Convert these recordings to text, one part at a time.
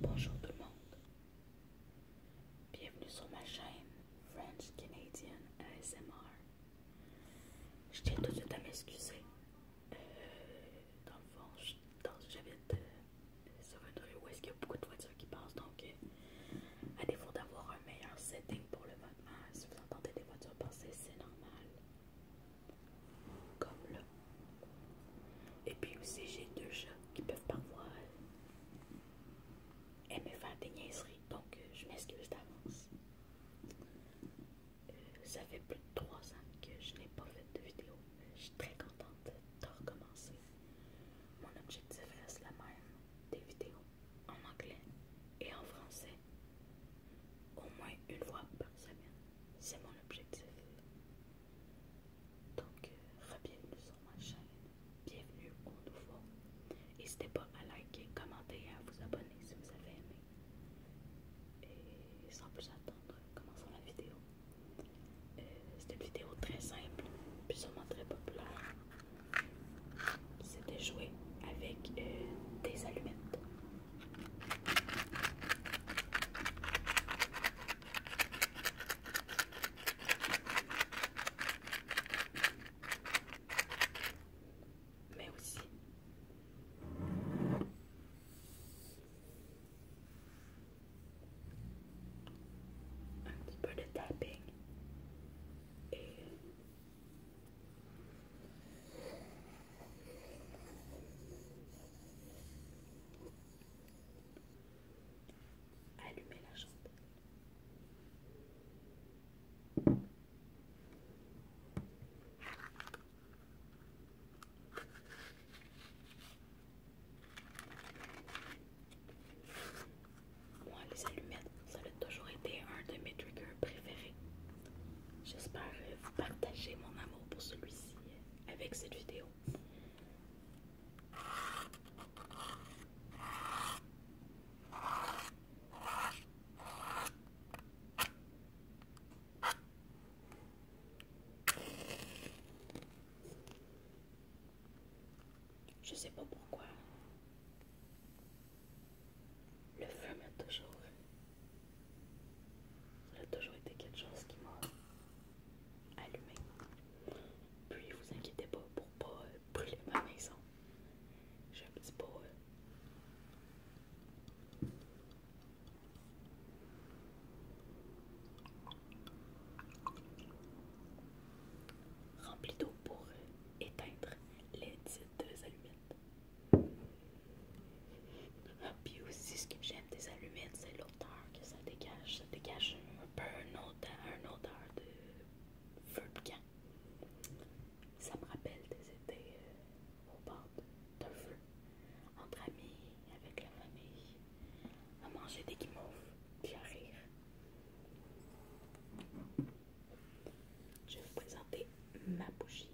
Bonjour tout le monde. Bienvenue sur ma chaîne French Canadian ASMR. Je tiens tout de suite à m'excuser. Euh, dans le fond, j'habite euh, sur un où est-ce qu'il y a beaucoup de voitures qui passent. Donc, euh, à défaut d'avoir un meilleur setting pour le moment, si vous entendez des voitures passer, c'est normal. Comme là. Et puis aussi, j'ai deux chats qui peuvent parfois aimer faire des niaiseries. Donc, euh, je m'excuse d'avance. Euh, ça fait plus de trois ans que je n'ai pas fait de vidéo. Je suis très contente de recommencer. Mon objectif reste la même. Des vidéos en anglais et en français. Au moins une fois par semaine. C'est mon objectif. Donc, re bienvenue sur ma chaîne, bienvenue au nouveau. N'hésitez pas à liker, commenter et à vous abonner si vous avez aimé. Et sans plus attendre, commençons la vidéo. Euh, c'était une vidéo très simple, puis sûrement très populaire. c'était jouer avec euh, des allumettes. mais aussi un petit peu Allumer la chandelle. Moi, les allumettes, ça a toujours été un de mes triggers préférés. J'espère vous partager mon amour pour celui-ci avec cette vidéo. Je sais pas pourquoi. Le feu m'a toujours ça a toujours été quelque chose qui m'a allumé. Puis vous inquiétez pas pour pas euh, brûler ma maison. J'ai un petit pot. Rempli d'eau pour euh, éteindre les petites allumettes. Puis aussi, ce que j'aime des allumettes, c'est l'odeur que ça dégage. Ça dégage un peu une odeur, de feu de camp. Ça me rappelle des étés euh, au bord d'un feu, entre amis, avec la famille, à manger des guimauves, puis à rire. Je vais vous présenter ma bougie.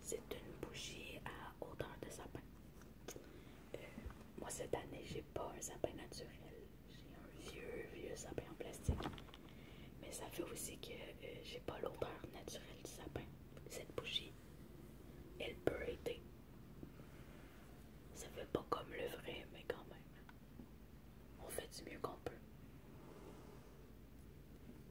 C'est une bougie à odeur de sapin. Euh, moi, cette année, j'ai pas un sapin naturel. J'ai un vieux, vieux sapin en plastique. Mais ça fait aussi que euh, j'ai pas l'odeur naturelle du sapin. Cette bougie, elle peut aider. Ça fait pas comme le vrai, mais quand même. On fait du mieux qu'on peut.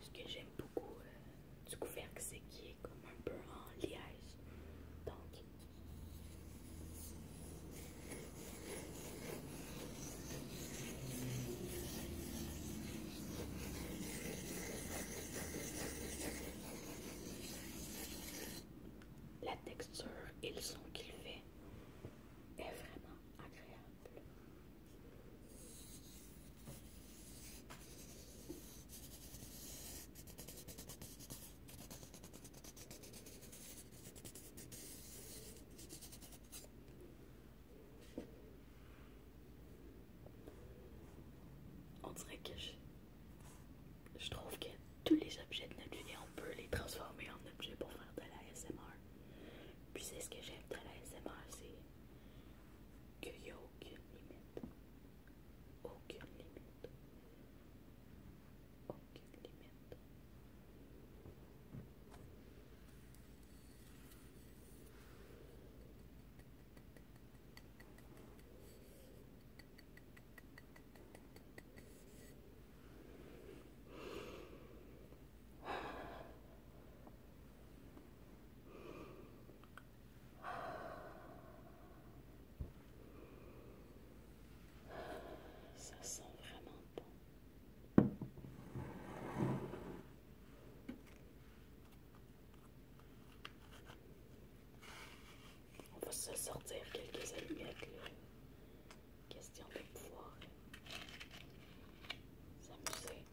Ce que j'aime beaucoup euh, du couvercle, c'est qu'il est comme un peu en liège. la texture et le son qu'il fait est vraiment agréable. On dirait que je, trouve qu'elle tous les objets de notre vie on peut les transformer en objets pour faire de la SMR. Puis c'est ce que j'aime de la SMR, c'est qu'il n'y a aucune limite. Aucune limite. Aucune limite. Ça sent vraiment bon. On va se sortir quelques allumettes. Là. Question de pouvoir s'amuser.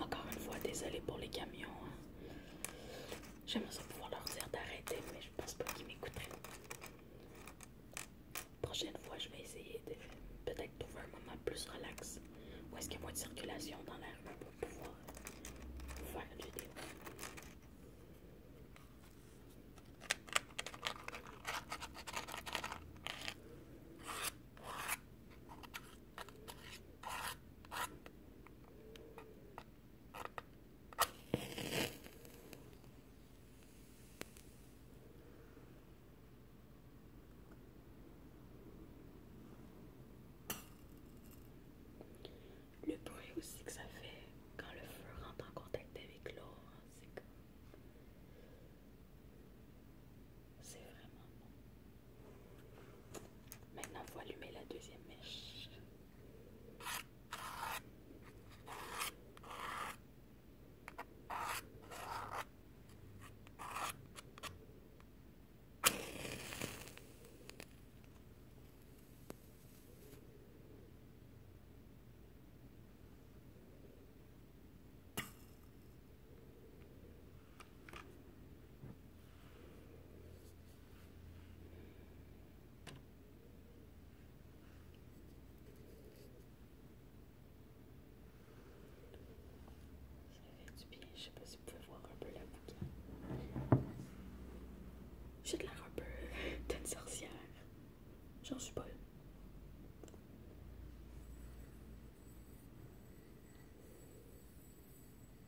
Encore une fois, désolé pour les camions. Hein. J'aimerais pouvoir leur dire d'arrêter, mais je pense pas qu'ils m'écouteraient. Prochaine fois, je vais essayer de peut-être trouver un moment plus relax. ou est-ce qu'il y a moins de circulation dans la pour pouvoir faire une vidéo? Le bruit aussi que ça fait quand le feu rentre en contact avec l'eau, c'est que C'est vraiment bon. Maintenant, vous faut allumer la deuxième mèche. Ça fait du bien, je sais pas si vous pouvez voir un peu la bouquin. J'ai de l'air un peu d'une sorcière. J'en suis pas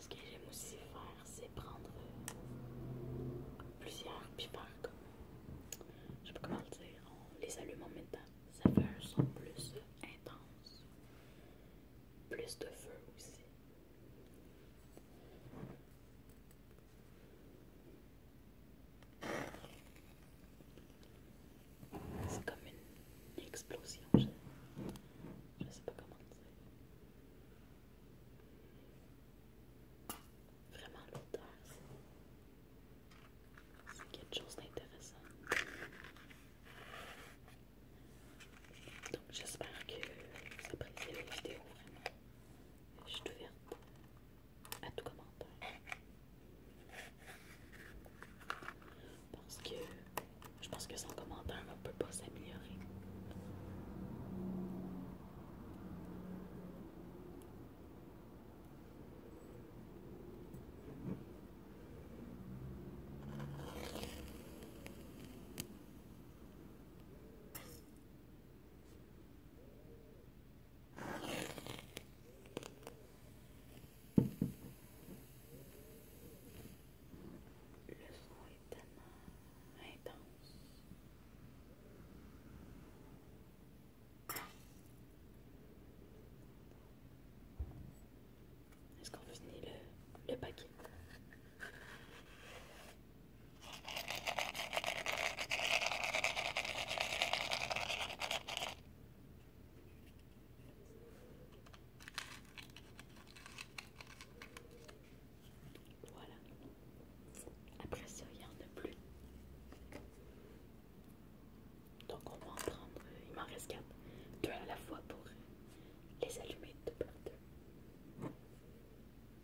Ce que j'aime aussi faire, c'est prendre euh, plusieurs pipards comme je sais pas comment le dire, on les allume en même temps. Ça fait un son plus intense, plus de feu aussi. C'est comme une explosion, je, ne sais pas comment dire. Vraiment l'odeur, c'est quelque chose d'intéressant. Donc j'espère que vous appréciez la vidéo vraiment. Je suis ouverte à tout commentaire. Parce que je pense que sans commentaire, on ne peut pas s'améliorer. Le son est tellement intense. Est-ce qu'on finit le, le paquet? Voilà. Après ça, il n'y en a plus. Donc on va en prendre, euh, il m'en reste quatre, deux à la fois pour les allumer de deux.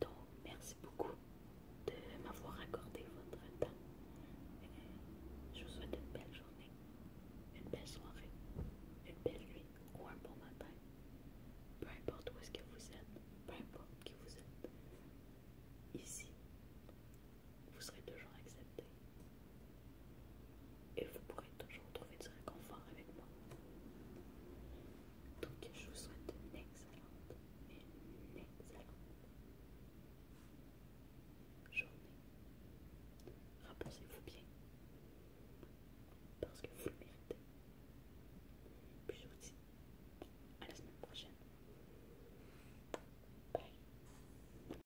Donc, merci beaucoup de m'avoir accordé votre temps. Euh, je vous souhaite une belle journée, une belle soirée, une belle nuit ou un bon matin. Peu importe où est-ce que vous êtes, peu importe qui vous êtes. Ici, vous serez toujours accepté. Et vous pourrez toujours trouver du réconfort avec moi. Donc je vous souhaite une excellente, une excellente journée. Reposez-vous bien. Parce que vous le méritez. Puis je vous dis à la semaine prochaine. Bye.